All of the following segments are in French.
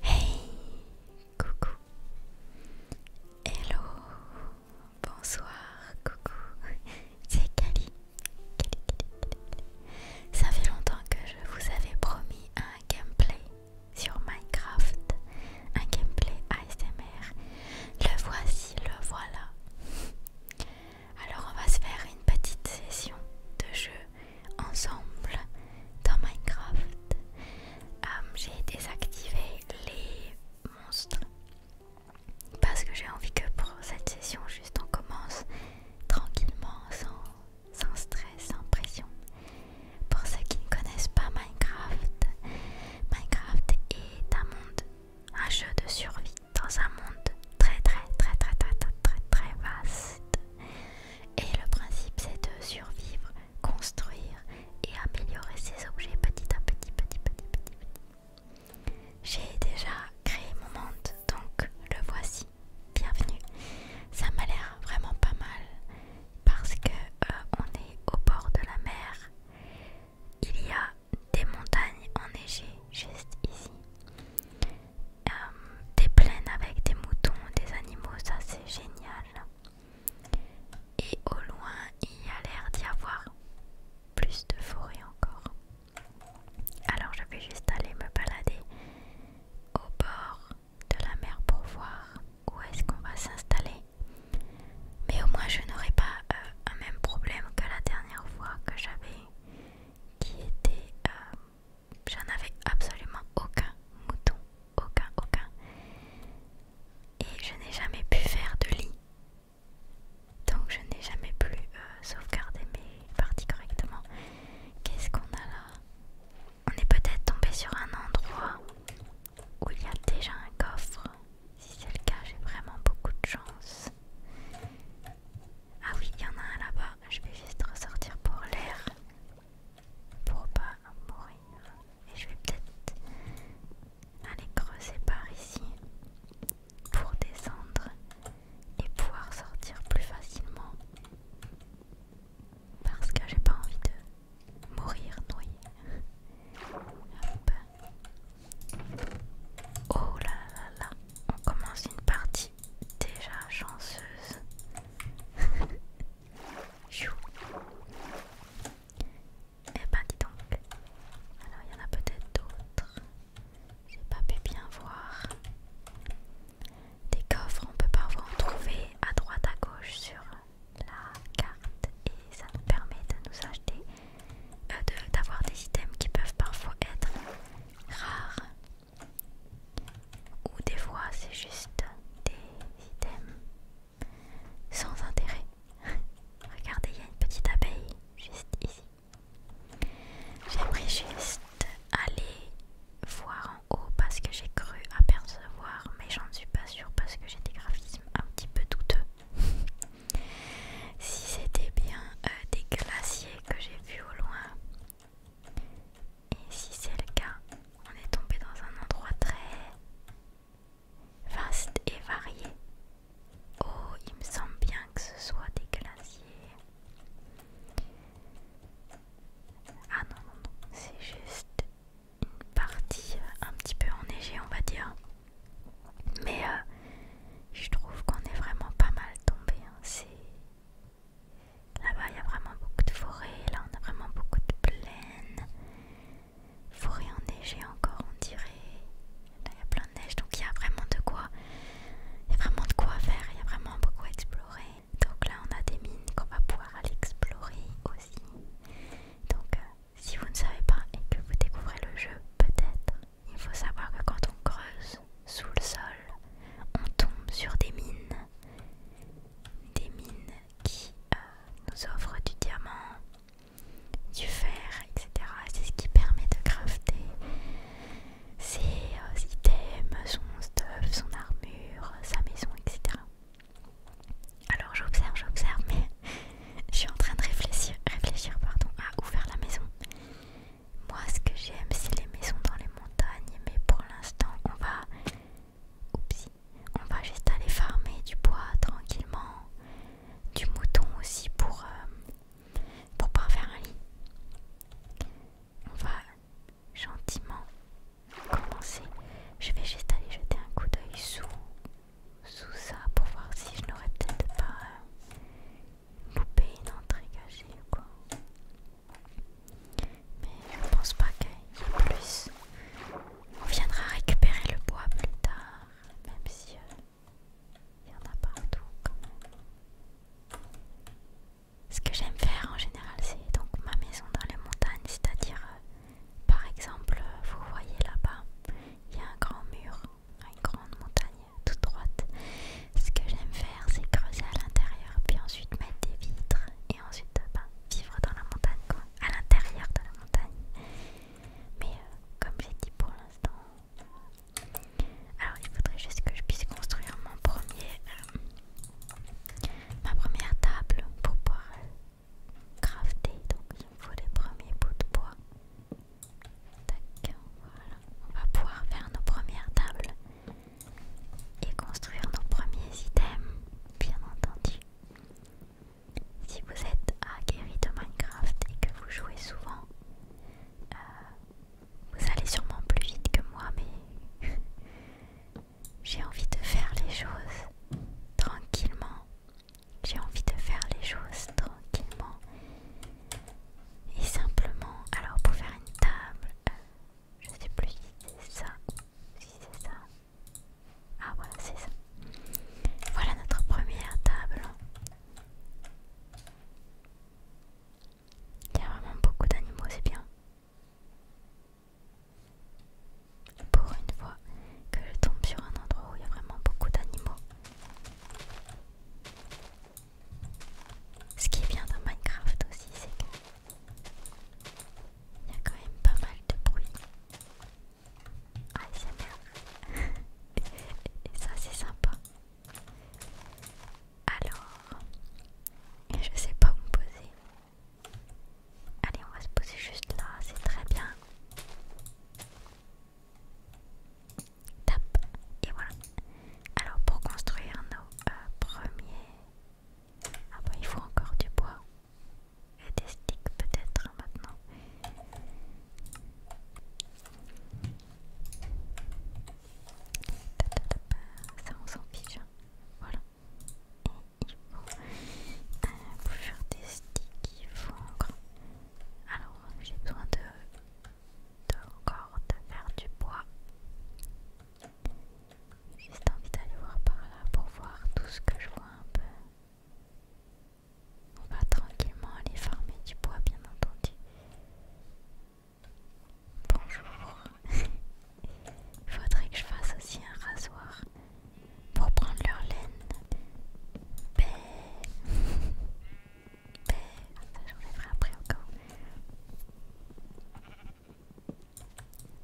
Hey, coucou. Hello, bonsoir, coucou. C'est Kali. Ça fait longtemps que je vous avais promis un gameplay sur Minecraft, un gameplay ASMR. Le voici, le voilà. Alors on va se faire une petite session de jeu ensemble dans Minecraft. Euh, j'ai désactivé les monstres parce que j'ai envie que pour cette session juste on commence tranquillement sans, stress, sans pression. Pour ceux qui ne connaissent pas Minecraft, Minecraft est un monde, un jeu de survie dans un monde très très très très très très très, très vaste et le principe c'est de survivre, construire et améliorer ses objets petit à petit, petit, petit, petit. petit. J'ai déjà créé mon monde, donc le voici. Bienvenue. Ça m'a l'air vraiment pas mal parce que euh, on est au bord de la mer. Il y a des montagnes enneigées juste ici. Euh, des plaines avec des moutons, des animaux, ça c'est génial. Et au loin, il y a l'air d'y avoir plus de forêt encore. Alors je vais juste aller me balader au bord de la mer pour voir où est-ce qu'on va s'installer. Mais au moins je n'aurai pas euh, un même problème que la dernière fois que j'avais qui était euh, J'en avais absolument aucun mouton, aucun, aucun. Et je n'ai jamais pu faire de lit. Donc je n'ai jamais pu euh, sauvegarder mes parties correctement. Qu'est-ce qu'on a là On est peut-être tombé sur un endroit où il y a déjà un coffre. Si c'est le cas, j'ai vraiment beaucoup de chance. Ah oui, il y en a un là-bas. Je vais juste ressortir pour l'air pour pas mourir. Et je vais peut-être aller creuser par ici pour descendre et pouvoir sortir plus facilement parce que j'ai pas envie de mourir noyé. Hop. Oh là là, on commence une partie déjà chanceuse. Eh ben dis donc. Alors il y en a peut-être d'autres. J'ai pas pu bien voir. Des coffres, on peut parfois en trouver à droite à gauche sur la carte et ça nous permet de nous acheter, euh, d'avoir des items qui peuvent parfois être rares. Ou des fois c'est juste des items sans intérêt. Regardez, il y a une petite abeille juste ici. J'aimerais juste aller voir en haut parce que j'ai cru apercevoir, mais j'en suis pas sûre parce que j'ai des graphismes un petit peu douteux. si c'était bien euh, des glaciers que j'ai vus au loin, et si c'est le cas, on est tombé dans un endroit très vaste et varié. Oh, il me semble bien que ce soit des glaciers. Ah non, non, non, c'est juste une partie euh, un petit peu enneigée, on va dire. Mais euh, je trouve qu'on est vraiment pas mal tombé. Hein. C'est Là-bas, il y a vraiment beaucoup de forêts. Là, on a vraiment beaucoup de plaines. Forêt enneigées encore, on dirait. Là, il y a plein de neige. Donc, il y a vraiment de quoi. Il y a vraiment de quoi faire. Il y a vraiment beaucoup à explorer. Donc, là, on a des mines qu'on va pouvoir aller explorer aussi. Donc, euh, si vous ne savez pas et que vous découvrez le jeu, peut-être, il faut savoir que quand on creuse sous le sol, on tombe sur des mines des mines qui euh, nous offrent du diamant, du fer, etc. C'est ce qui permet de crafter ses euh, items, son stuff, son armure, sa maison, etc. Alors j'observe, j'observe, mais je suis en train de réfléchir, réfléchir pardon, à ouvrir la maison. Moi ce que j'aime c'est les maisons dans les montagnes, mais pour l'instant on va Oupsie. On va juste aller farmer du bois tranquillement, du mouton aussi pour euh, pour pas faire un lit. On va gentiment commencer. Je vais juste aller jeter un coup d'œil sous ça pour voir si je n'aurais peut-être pas euh, une entrée cachée ou quoi. Mais je pense pas qu'il y ait plus. On viendra récupérer le bois plus tard, même si euh, il y en a partout quand même. Ce que j'aime faire en général, c'est donc ma maison dans les montagnes, c'est-à-dire, euh, par exemple, euh, vous voyez là-bas, il y a un grand mur, une grande montagne toute droite. Ce que j'aime faire, c'est creuser à l'intérieur, puis ensuite mettre des vitres, et ensuite euh, ben, vivre dans la montagne, à l'intérieur de la montagne. Mais euh, comme j'ai dit pour l'instant, alors il faudrait juste que je puisse construire mon premier, euh, ma première table pour pouvoir crafter. Donc il me faut les premiers bouts de bois. voilà. On va pouvoir faire nos premières tables et construire nos premiers items, bien entendu. Si vous êtes aguerri de Minecraft et que vous jouez souvent, euh, vous allez sûrement plus vite que moi, mais j'ai envie de faire les choses tranquillement. J'ai envie de faire les choses tranquillement et simplement. Alors pour faire une table, je sais plus si c'est ça. Si c'est ça. Ah voilà, c'est ça. Voilà notre première table. Il y a vraiment beaucoup d'animaux, c'est bien. Pour une fois que je tombe sur un endroit où il y a vraiment beaucoup d'animaux. Ce qui est bien dans Minecraft aussi, c'est que il y a quand même pas mal de bruit. Ah, ça s'énerve Et ça, c'est sympa. Alors, je sais pas où me poser. Allez, on va se poser juste là, c'est très bien. Tap et voilà. Alors, pour construire nos euh, premiers ah bah il faut encore du bois. Et des sticks peut-être hein, maintenant. Ça on s'en fiche. Hein. Voilà. il faut euh, faire des sticks, il faut encore. Alors j'ai besoin de encore de faire du bois. J'ai juste envie d'aller voir par là pour voir tout ce que je vois un peu. On va tranquillement aller farmer du bois, bien entendu. Bonjour. Il faudrait que je fasse aussi un rasoir pour prendre leur laine. Ben, ben. Ça, j'enlèverai après encore.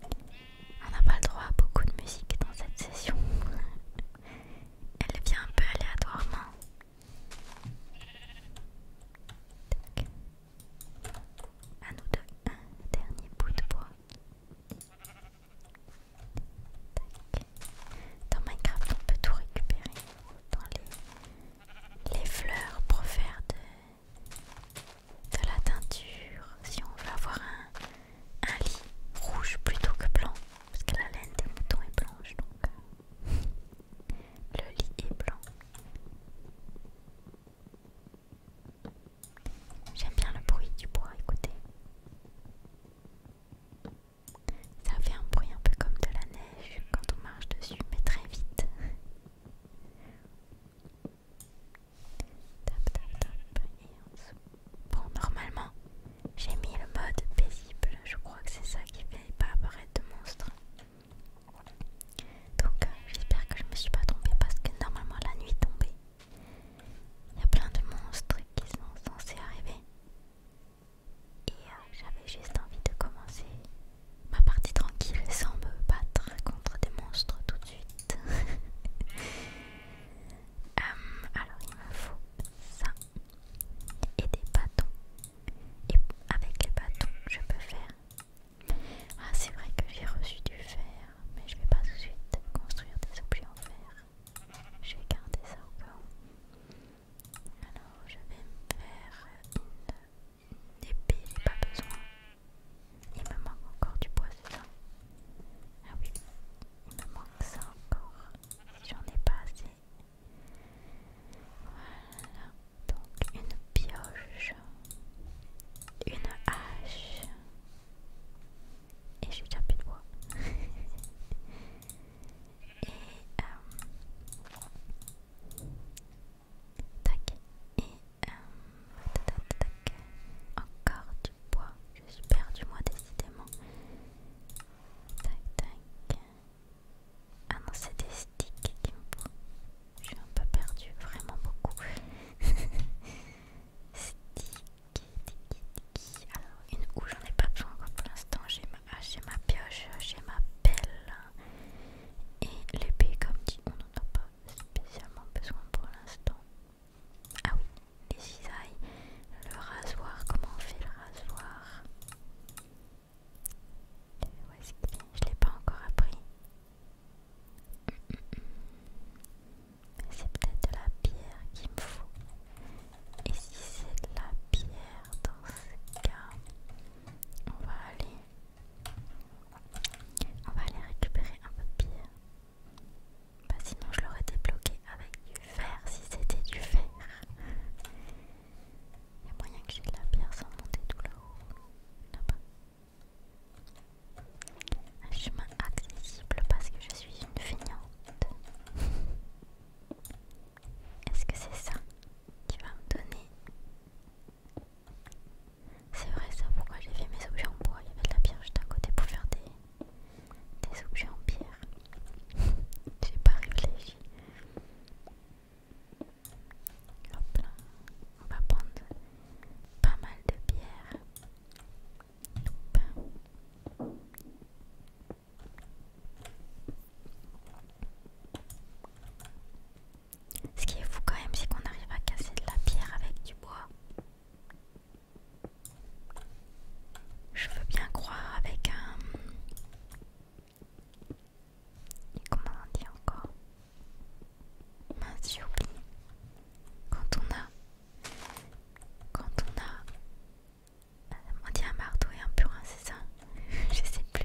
On n'a pas le droit à beaucoup de musique dans cette session. Elle vient un peu aléatoirement. Un À nous deux, un dernier bout de bois. Dans Minecraft, on peut tout récupérer. Dans les, les fleurs pour faire de, de la teinture, si on veut avoir un, lit rouge plutôt que blanc, parce que la laine des moutons est blanche, donc euh, le lit est blanc. J'aime bien le bruit du bois, écoutez. Ça fait un bruit un peu comme de la neige quand on marche dessus, mais très vite. Bon, normalement, j'ai mis le mode paisible. Je crois que c'est ça qui fait pas apparaître de monstre. Donc, euh, j'espère que je me suis pas trompée parce que normalement, la nuit tombée. Il y a plein de monstres qui sont censés arriver. Et euh, j'avais juste envie de commencer ma partie tranquille sans me battre contre des monstres tout de suite. Euh, alors il me faut ça et des bâtons. Et avec les bâtons je peux faire... Ah c'est vrai que j'ai reçu du fer, mais je vais pas tout de suite construire des objets en fer. Je vais garder ça au cas Alors je vais me faire une... Des Épée, pas besoin. Il me manque encore du bois, c'est ça Ah oui, il me manque ça encore. J'en ai pas assez. Voilà, donc une pioche, une hache. Et j'ai déjà plus de bois. Et euh, Tac. Et euh, tac, tac. Encore du bois. Je suis perdu moi décidément. Tac tac. Ah non c'est des sticks qui me prennent. Je suis un peu perdu, vraiment beaucoup. Sticky, Alors une où j'en ai pas besoin encore pour l'instant. J'ai ma, pioche, j'ai ma pelle et l'épée comme dit on en a pas spécialement besoin pour l'instant. Ah oui, les cisailles, le rasoir, comment on fait le rasoir Où est-ce qu'il Je l'ai pas encore appris. C'est peut-être de la pierre qu'il me faut. Et si c'est de la pierre dans ce cas, on va aller on va aller récupérer un peu de pierre. Bah, sinon je l'aurais débloqué avec du fer si c'était du fer. Il y a moyen que j'ai de la pierre sans monter tout là-haut. Un chemin accessible parce que je suis une feignante. Est-ce que c'est ça qui va me donner c'est vrai ça, pourquoi j'ai fait mes objets en bois, il y avait de la pierre juste à côté pour faire des, objets en pierre. j'ai pas réfléchi. Hop là, on va prendre pas mal de pierres ce qui est fou quand même, c'est qu'on arrive à casser de la pierre avec du bois. Je veux bien croire avec un... Comment on dit encore Mince, Quand on a... Quand on a... Euh, on dit un marteau et un purin, c'est ça Je sais plus.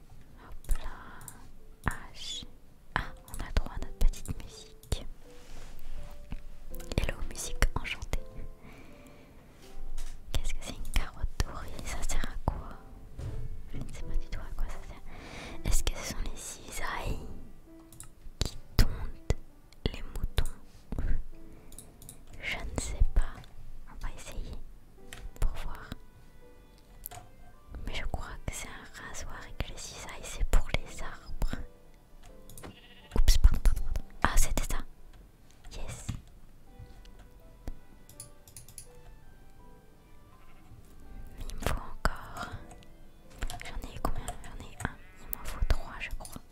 Hop là. H. Ah, on a droit à notre petite musique. Hello, musique enchantée. Qu'est-ce que c'est une carotte dorée Ça sert à quoi Je ne sais pas du tout à quoi ça sert. Est-ce que ce sont les cisailles qui tondent les moutons Je ne sais pas. On va essayer pour voir. Mais je crois que c'est un rasoir et que les cisailles c'est pour les arbres. Oups, pardon, pardon, pardon. Ah, c'était ça. Yes. Mais Il me faut encore. J'en ai combien J'en ai un. Il m'en faut trois, je crois.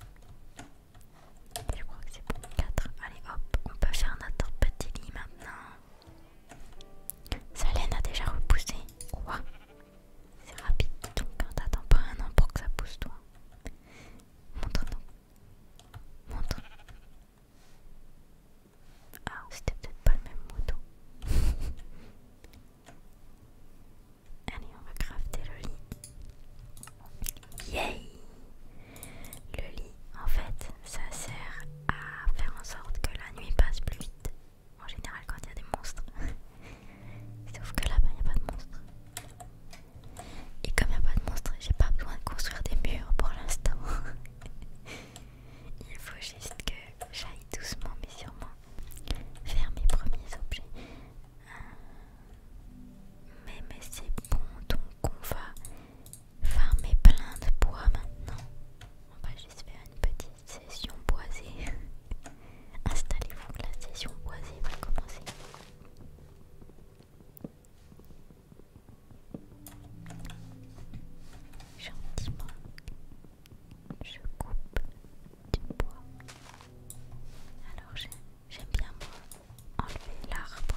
Je crois que c'est bon. Quatre. Allez, hop. On peut faire notre petit lit maintenant. Sa laine a déjà repoussé. Quoi C'est rapide, donc hein, t'attends pas un an pour que ça pousse toi. Montre-nous. Montre. Ah, c'était peut-être pas le même moto. Allez, on va crafter le lit. Yay! Le lit en fait, ça sert à faire en sorte que la nuit passe plus vite. En général, quand il y a des monstres. Sauf que là-bas, il n'y a pas de monstres. Et comme il n'y a pas de monstres, j'ai pas besoin de construire des murs pour l'instant. il faut juste que j'aille doucement, mais sûrement, faire mes premiers objets. Euh, mais, mais c'est bon, donc on va farmer plein de bois maintenant. On va juste faire une petite session boisée. Installez-vous, la session boisée va commencer. Gentiment, je coupe du bois. Alors j'aime bien enlever l'arbre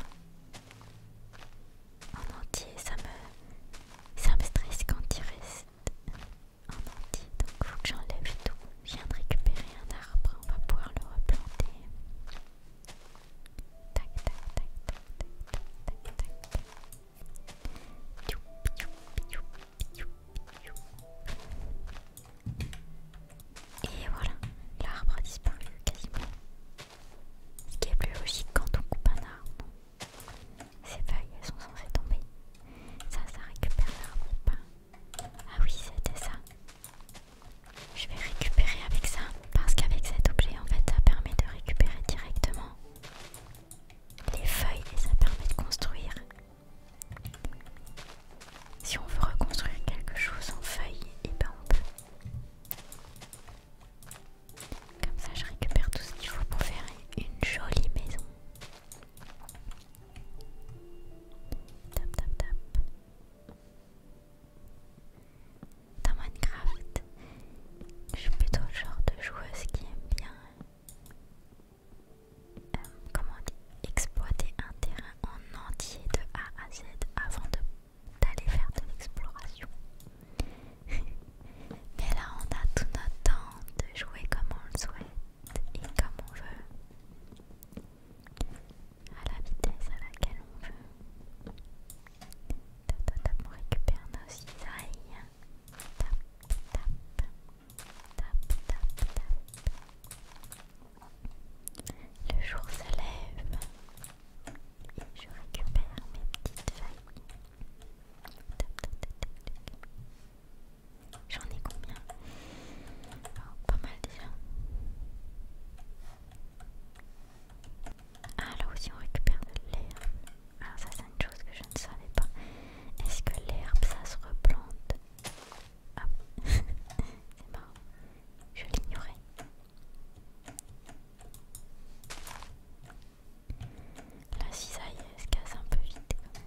en entier, ça me, ça me stresse quand il reste en entier, donc il faut que j'enlève tout. Je viens de récupérer un arbre, on va pouvoir le replanter. Et voilà, l'arbre a disparu quasiment. Ce qui est plus logique quand on coupe un arbre. Ces feuilles, elles sont censées tomber. Ça, ça récupère l'arbre ou pas Ah oui, c'était ça. Je vais récupérer avec ça, parce qu'avec cet objet, en fait, ça permet de récupérer directement les feuilles et ça permet de construire. Si on veut reconstruire quelque chose en feuilles, et eh ben on peut. Comme ça, je récupère tout ce qu'il faut pour faire une jolie maison. Tap tap tap. Dans Minecraft, je suis plutôt le genre de joueuse qui aime bien euh, comment exploiter un terrain en entier de A à Z avant de d'aller faire de l'exploration. Mais là, on a tout notre temps de jouer comme on le souhaite et comme on veut, à la vitesse à laquelle on veut. on récupère nos cisailles. Tap, tap, tap, tap, tap. Le jour se lève. Et je récupère mes petites feuilles. J'en ai combien oh, Pas mal déjà. Ah là aussi on récupère de l'herbe. Alors ça c'est une chose que je ne savais pas. Est-ce que l'herbe ça se replante ah. C'est marrant. Je l'ignorais. La cisaille se casse un peu vite quand même.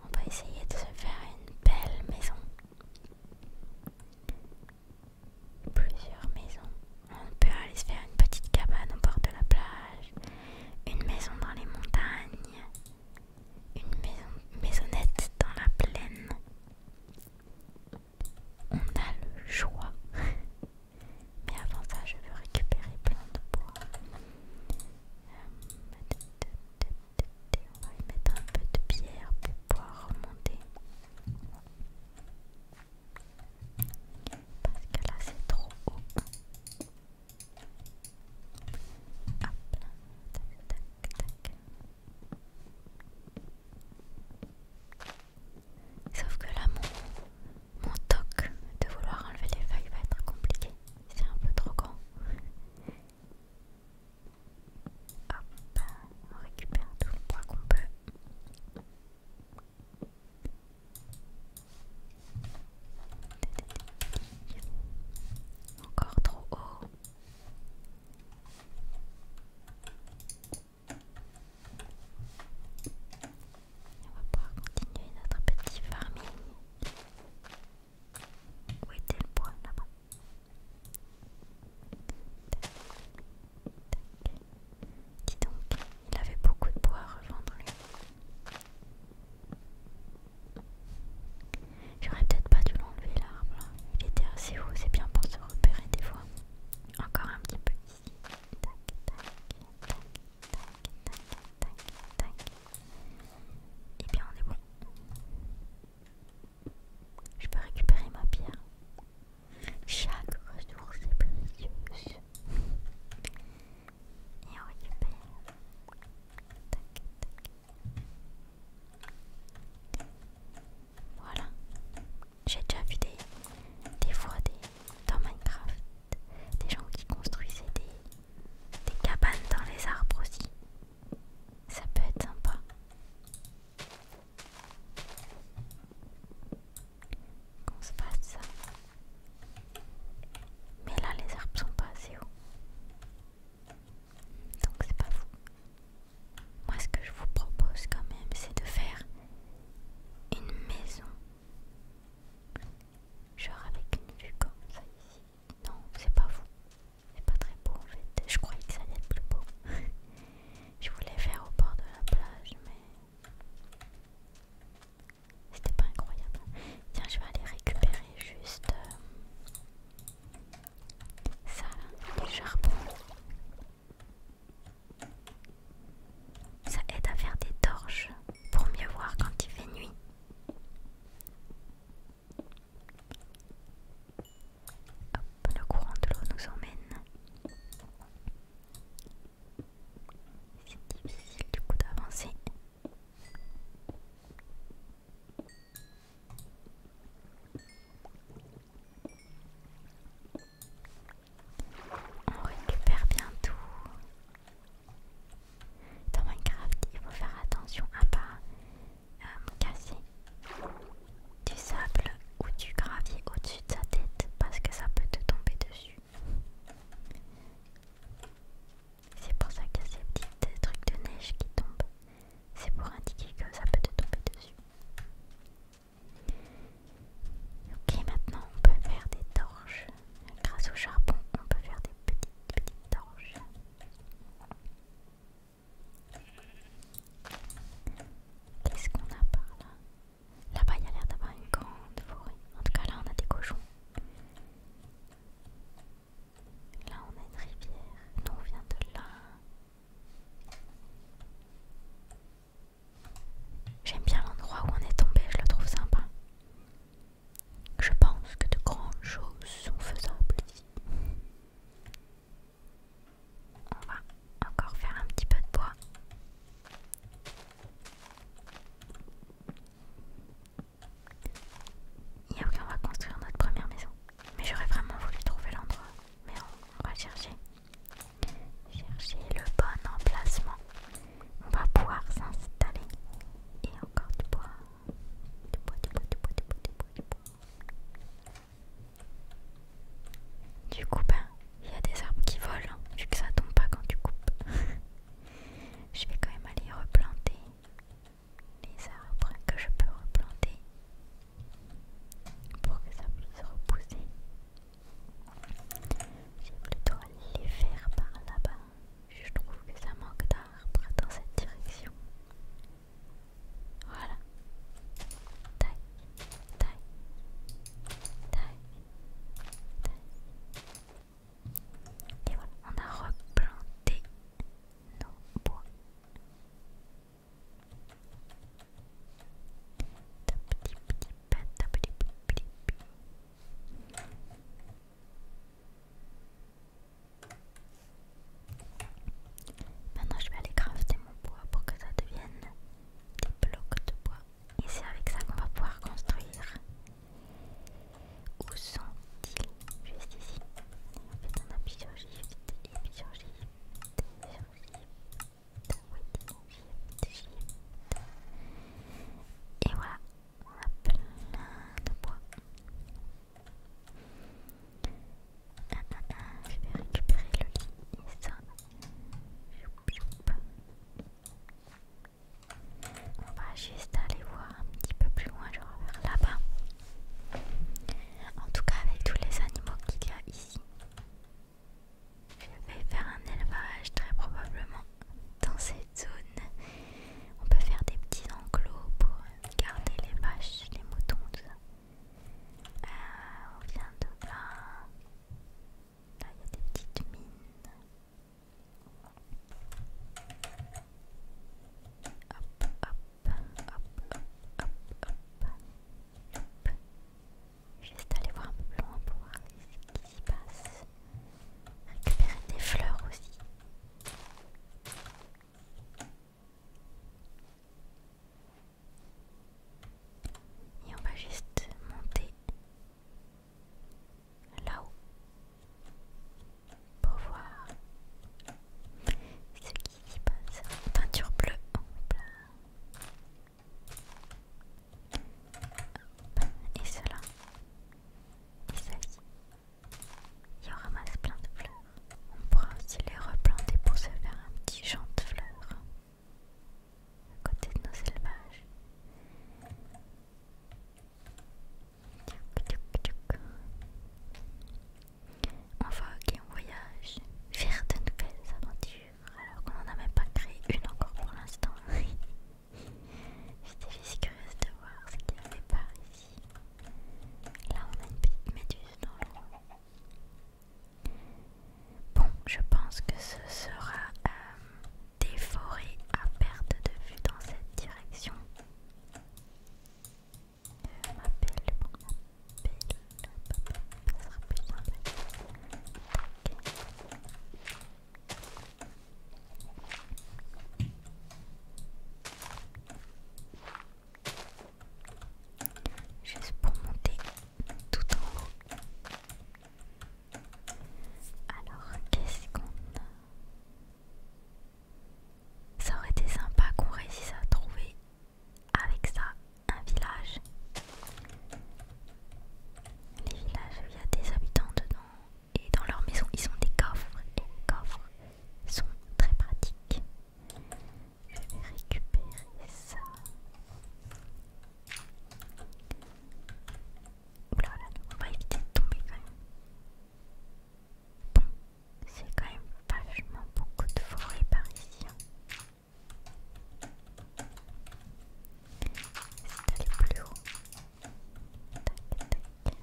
On va essayer de se faire une belle maison. Plusieurs maisons. On peut aller se faire une petite cabane au bord de la plage, une maison dans les montagnes, une maisonnette dans la plaine. On a le choix. Mais avant ça, je veux récupérer plein de bois. Euh, on va y mettre un peu de pierre pour pouvoir remonter. Parce que là, c'est trop haut. Sauf que là, mon, toc de vouloir enlever les feuilles va être compliqué. C'est un peu trop grand. Hop, on récupère tout le bois qu'on peut. Encore trop haut. On va pouvoir continuer notre petit farming. Où était le bois là-bas Dis donc, il avait beaucoup de bois à revendre J'aurais peut-être pas dû l'enlever l'arbre Il était assez haut, c'est bien pour se repérer des fois. Encore un petit peu ici. Tac, tac, tac, tac, Et bien on est bon. Je peux récupérer ma pierre. Chaque ressource est précieuse et on Voilà. J'ai déjà vu des, fois dans Minecraft des gens qui construisaient des, des cabanes dans les arbres aussi. Ça peut être sympa. Qu'on se passe ça. Mais là, les arbres sont pas assez hauts. Donc, c'est pas vous. Moi, ce que je vous propose quand même, c'est de faire une maison. Genre avec une vue comme ça ici. Non, c'est pas vous. C'est pas très beau en fait. Je croyais que ça allait être plus beau. je voulais faire au bord de la plage, mais c'était pas incroyable. Tiens, je vais aller récupérer juste euh, ça les charbons charbon. Ça aide à faire des torches pour mieux voir quand il fait nuit. le courant de l'eau nous emmène. C'est difficile du coup d'avancer. On récupère bien tout. Dans Minecraft, il faut faire attention à pas euh, casser du sable ou du gravier au-dessus de sa tête parce que ça peut te tomber dessus. C'est pour ça qu'il y a ces petits trucs de neige qui tombent. C'est pour indiquer que ça peut te tomber dessus. Ok, maintenant on peut faire des torches. Grâce au charbon, on peut faire des petites, petites torches. Qu'est-ce qu'on a par là Là-bas, il y a l'air d'avoir une grande forêt. En tout cas, là, on a des cochons. Là on a une rivière, nous on vient de là. J'aime bien l'endroit où on est tombé, je le trouve sympa. Je pense que de grandes choses sont faisables ici. On va encore faire un petit peu de bois. Et ok on va construire notre première maison. Mais j'aurais vraiment voulu trouver l'endroit. Mais on, va chercher. Chercher le bon emplacement. On va pouvoir s'installer. Et encore du bois. Du bois, du bois, du bois, du bois, du bois, du bois. Du coup, ben, il y a des arbres qui volent. Hein, vu que ça tombe pas quand tu coupes. Je vais quand même aller replanter les arbres que je peux replanter pour que ça puisse repousser. vais plutôt aller les faire par là-bas. Je trouve que ça manque d'arbres dans cette direction. Voilà. taille, taille, et voilà, on a replanté nos bois. Maintenant je vais aller crafter mon bois pour que ça devienne des blocs de bois. Et c'est avec ça qu'on va pouvoir construire où sont-ils Juste ici. En fait, on a plusieurs shifts et plusieurs shifts. Plusieurs shifts. Oui, shift, shift. Et voilà, on a plein de bois. Ah, ah, ah, je vais récupérer le lit et on va juste aller voir un petit peu plus loin, genre vers là-bas. En tout cas, avec tous les animaux qu'il y a ici, je vais faire un élevage très probablement dans cette zone. On peut faire des petits enclos pour garder les vaches, les moutons, tout ça. Euh, on vient de là. Là, il y a des petites mines. Hop, hop, hop, hop, hop, hop. aller voir un peu plus loin pour voir ce qui s'y passe. Récupérer des fleurs aussi. Et on va juste monter là-haut pour voir ce qui se passe. Peinture bleue. Et cela. Et ça Il y en ramasse plein de fleurs. On pourra aussi les replanter pour se faire un petit champ de fleurs à côté de nos élevages. On va, et on voyage vers de nouvelles aventures alors qu'on n'en a même pas créé une encore pour l'instant. J'étais juste curieuse de voir ce qu'il y avait par ici. Là on a une petite méduse dans l'eau. Bon, je pense que ce sera euh, des forêts à perte de vue dans cette direction. Juste pour monter tout en haut. Alors, qu'est-ce qu'on a Ça aurait été sympa qu'on réussisse à trouver avec ça un village. Les villages, il y a des habitants dedans et dans leur maison, ils ont des coffres et les coffres sont très pratiques. Je vais récupérer ça. Oulala, on va éviter de tomber quand même. Bon, c'est quand même vachement beaucoup de forêt par ici. Hein. C'est aller plus haut. Tac, tac.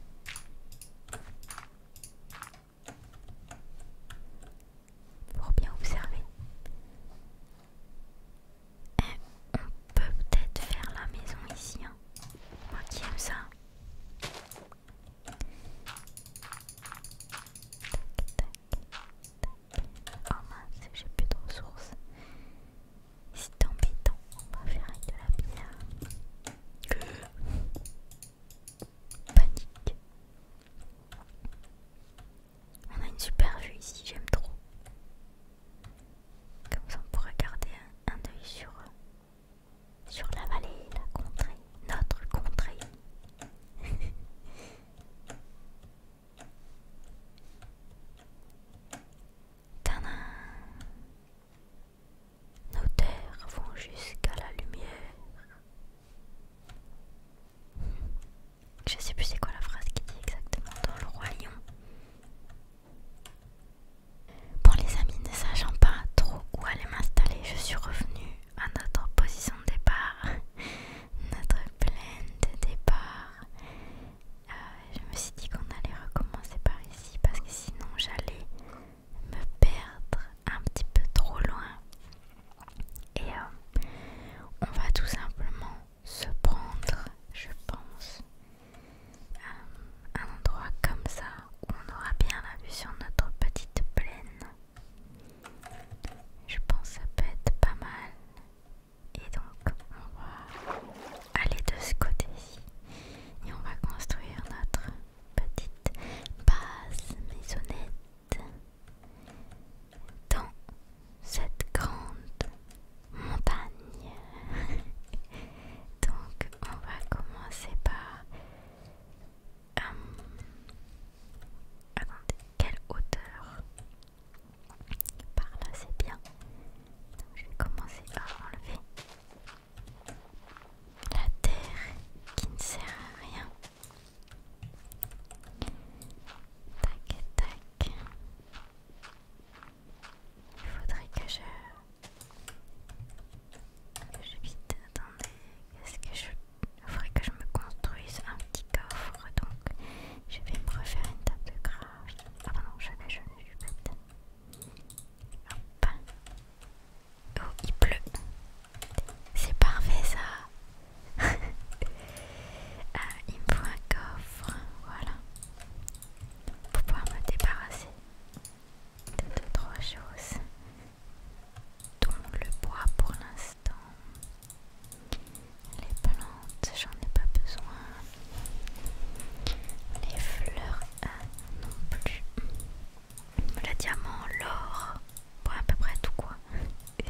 Pour bien observer. Eh, on peut peut-être faire la maison ici, hein. Moi qui aime ça. Tac, tac, tac. Oh mince, j'ai plus de ressources. C'est embêtant, on va faire avec de la bière. Panique. On a une super vue ici, j'aime trop. Comme ça on pourra garder un, œil sur, sur la vallée, la contrée, notre contrée. Nos terres vont jusqu'à la lumière. Je sais plus c'est quoi la phrase qui dit exactement dans le royaume. Pour les amis, ne sachant pas trop où aller m'installer, je suis revenue à notre position de départ, notre plaine de départ. Euh, je me suis dit qu'on allait recommencer par ici parce que sinon j'allais me perdre un petit peu trop loin. Et euh, on va tout simplement se prendre, je pense, euh, un endroit comme ça où on aura bien la vue sur notre petite plaine. Je pense que ça peut être pas mal. Et donc on va aller de ce côté-ci et on va construire notre petite base maisonnette dans cette grande montagne. Donc on va commencer par... Euh, attendez, quelle hauteur Par là c'est bien. Donc je vais commencer par enlever la terre qui ne sert à rien. Tac, tac. Il faudrait que je... je vite, attendez, qu'est-ce que je... Il faudrait que je me construise un petit coffre, donc je vais me refaire une table de craft. Ah bah non, je vais, je vais, je Hop. Oh, il pleut. C'est parfait ça. ah, il me faut un coffre, voilà pour pouvoir me débarrasser de deux, trois choses, dont le bois pour l'instant. Les plantes, j'en ai pas besoin. Les fleurs, ah, non plus. Le diamant, l'or, bon, à peu près tout quoi. Le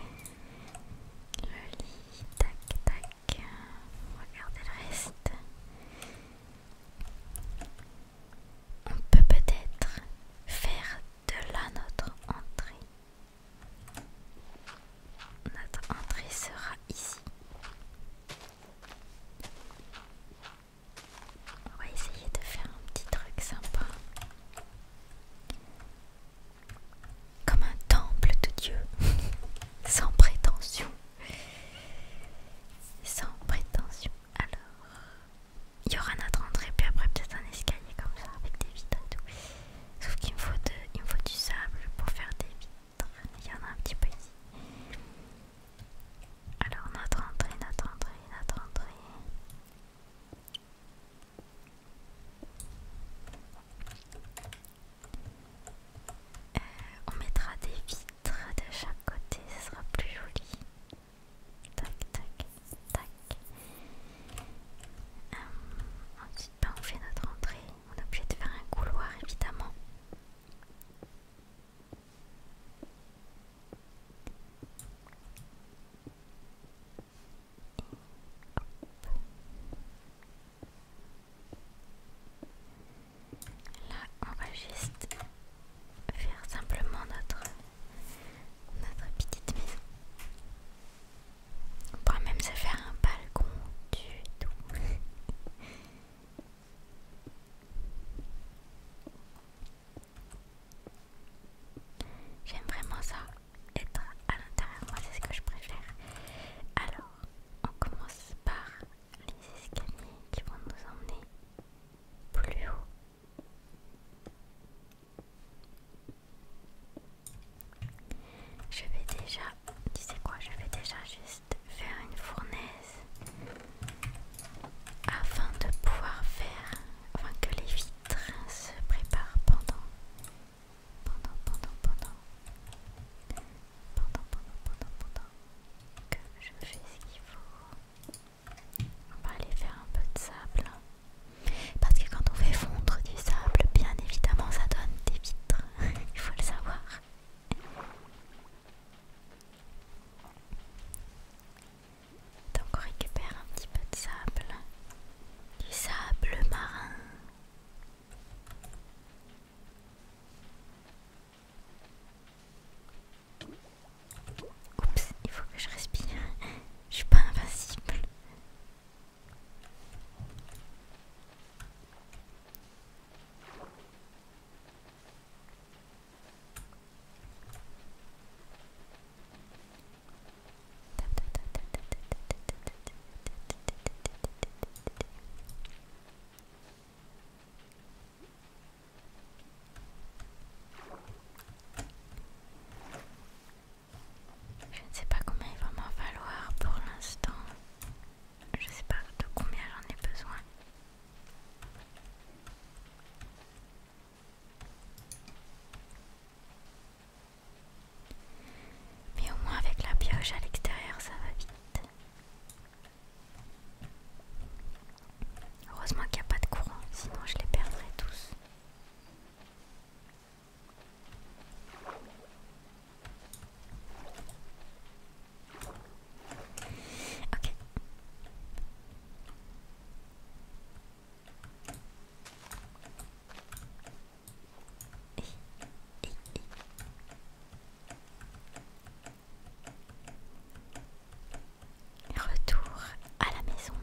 lit, tac, tac, le reste. On peut peut-être faire de là notre entrée. Notre entrée sera ici. On va essayer de faire un petit truc sympa. Comme un temple de Dieu, sans prétention. Sans prétention, alors. Il y aura notre entrée, puis après peut-être un escalier comme ça avec des vitres et tout. Sauf qu'il me, faut du sable pour faire des vitres. Il y en a un petit peu ici. Alors notre entrée, notre entrée, notre entrée. Euh, on mettra des vitres de chaque côté, ce sera plus joli. Tac, tac, tac. Euh, ensuite, ben, on fait notre entrée. On est obligé de faire un couloir, évidemment. Là, on va juste faire simplement notre, notre petite maison. On pourrait même se faire un balcon du tout. J'aime vraiment ça, être à l'intérieur, moi c'est ce que je préfère. Alors, on commence par les escaliers qui vont nous emmener plus haut. Je vais déjà, tu sais quoi, je vais déjà juste faire une fournaise afin de pouvoir faire, afin que les vitres se préparent pendant, pendant, pendant, pendant pendant, pendant, pendant, pendant que je fais ce qu'il faut. On va aller faire un peu de sable. Parce que quand on fait fondre du sable, bien évidemment, ça donne des vitres. Il faut le savoir. Donc on récupère un petit peu de sable. Du sable marin. Oups, il faut que je respire. Je suis pas invincible. Je ne sais pas combien il va m'en falloir pour l'instant. Je ne sais pas de combien j'en ai besoin. Mais au moins avec la pioche à l'extérieur ça va vite. Heureusement qu'il n'y a pas de courant, sinon je les perdrais tous. Ok. Retour à la maison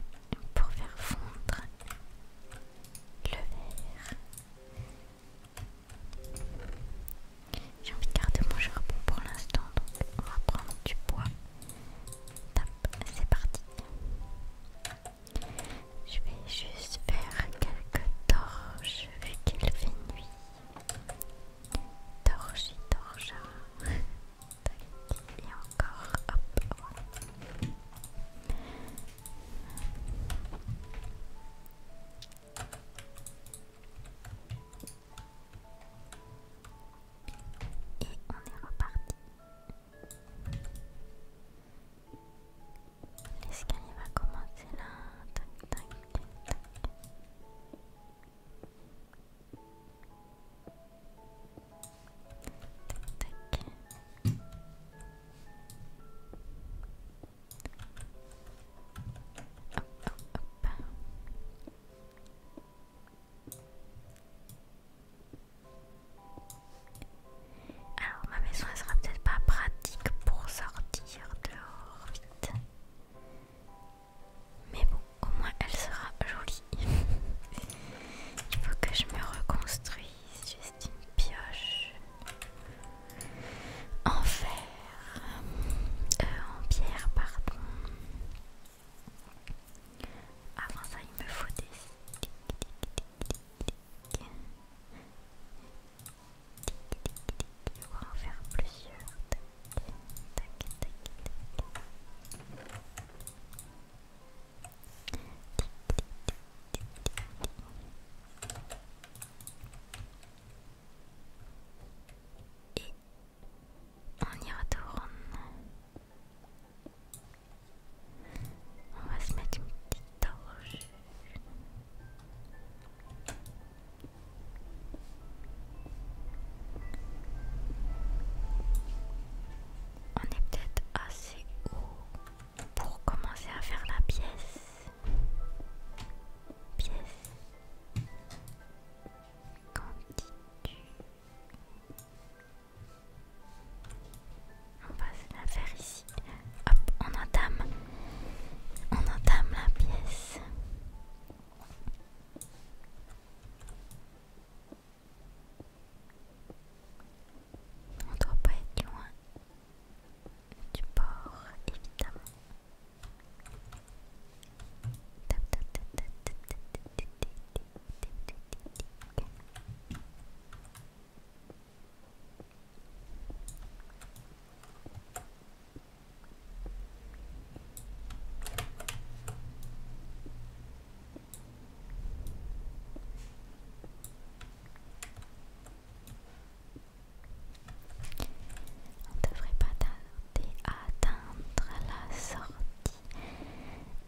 pour faire fondre le verre. J'ai envie de garder mon charbon pour l'instant, donc on va prendre du bois. C'est parti. Je vais juste faire quelques torches vu qu'il fait nuit. Torche, torcha. Et encore, hop, Et on est reparti. L'escalier va commencer là. Hop, Alors ma maison elle sera peut-être pas pratique pour sortir dehors vite Mais bon, au moins elle sera jolie. Il faut que je me reconstruise juste une pioche en fer, euh, en pierre, pardon. Avant ça, il me faut des. On va en faire plusieurs. Et on y retourne. On va se mettre une petite on est peut-être assez haut pour commencer à faire la pièce. Pièce. Quantité. On passe la faire ici. Hop, on entame. On entame la pièce. On doit pas être loin du port, évidemment. On ne devrait pas tarder à atteindre la sortie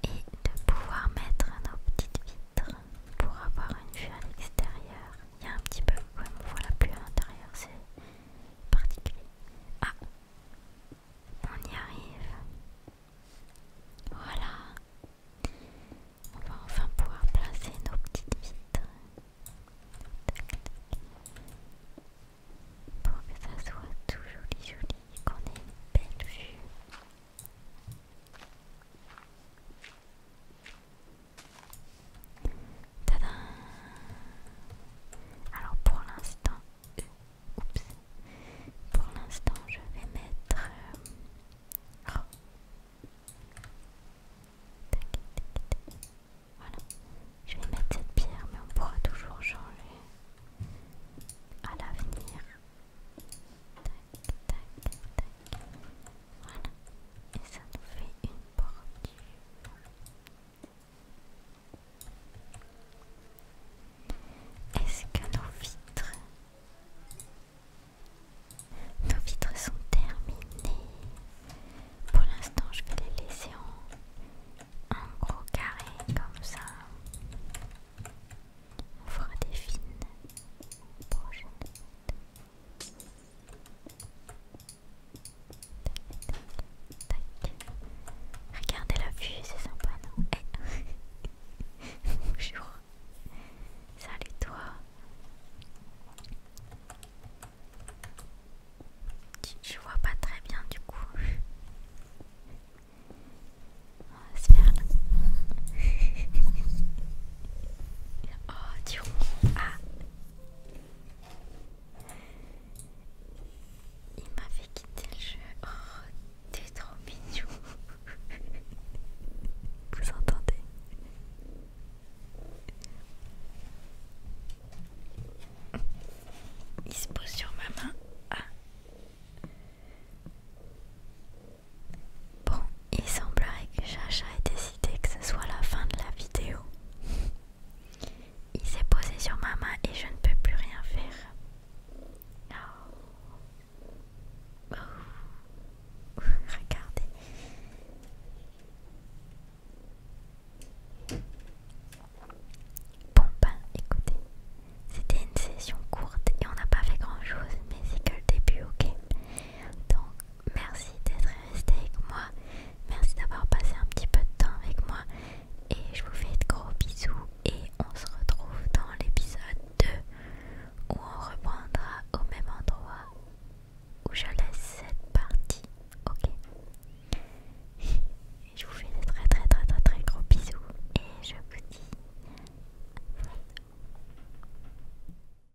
et de pouvoir mettre nos petites vitres pour avoir une vue à l'extérieur il y a un petit peu on voit la pluie à l'intérieur, c'est particulier. Ah, on y arrive. Voilà. On va enfin pouvoir placer nos petites vitres pour que ça soit tout joli, joli, qu'on ait une belle vue. Alors pour l'instant, euh, oups, pour l'instant je vais mettre... Euh, oh. Voilà, je vais mettre cette pierre mais on pourra toujours changer à l'avenir. Tac, tac, tac. Voilà. Et ça nous fait une porte. Est-ce que nos vitres... Nos vitres sont terminées. Pour l'instant, je vais les laisser en, gros carré comme ça. On fera des fines prochaines. Regardez la vue, c'est sympa, non eh. Bonjour. Salut toi. Je vois pas très bien du coup. Ah, oh, tu ronds. Il m'avait quitté le jeu. Oh, t'es trop mignon. Vous entendez Il se pose sur ma main. Ah. Bon, il semblerait que Chacha ait décidé que ce soit la fin de la vidéo. Il s'est posé sur ma main et je ne peux plus rien faire. Oh. Oh, regardez. Bon ben, écoutez, c'était une session courte et on n'a pas fait grand chose, mais c'est que le début, ok. Donc merci d'être resté avec moi. Merci d'avoir passé un petit peu de temps avec moi. Et je vous fais de gros bisous. Et on se retrouve dans l'épisode 2 où on reprendra au même endroit où je laisse cette partie. Ok Je vous fais de très très très très très gros bisous. Et je vous dis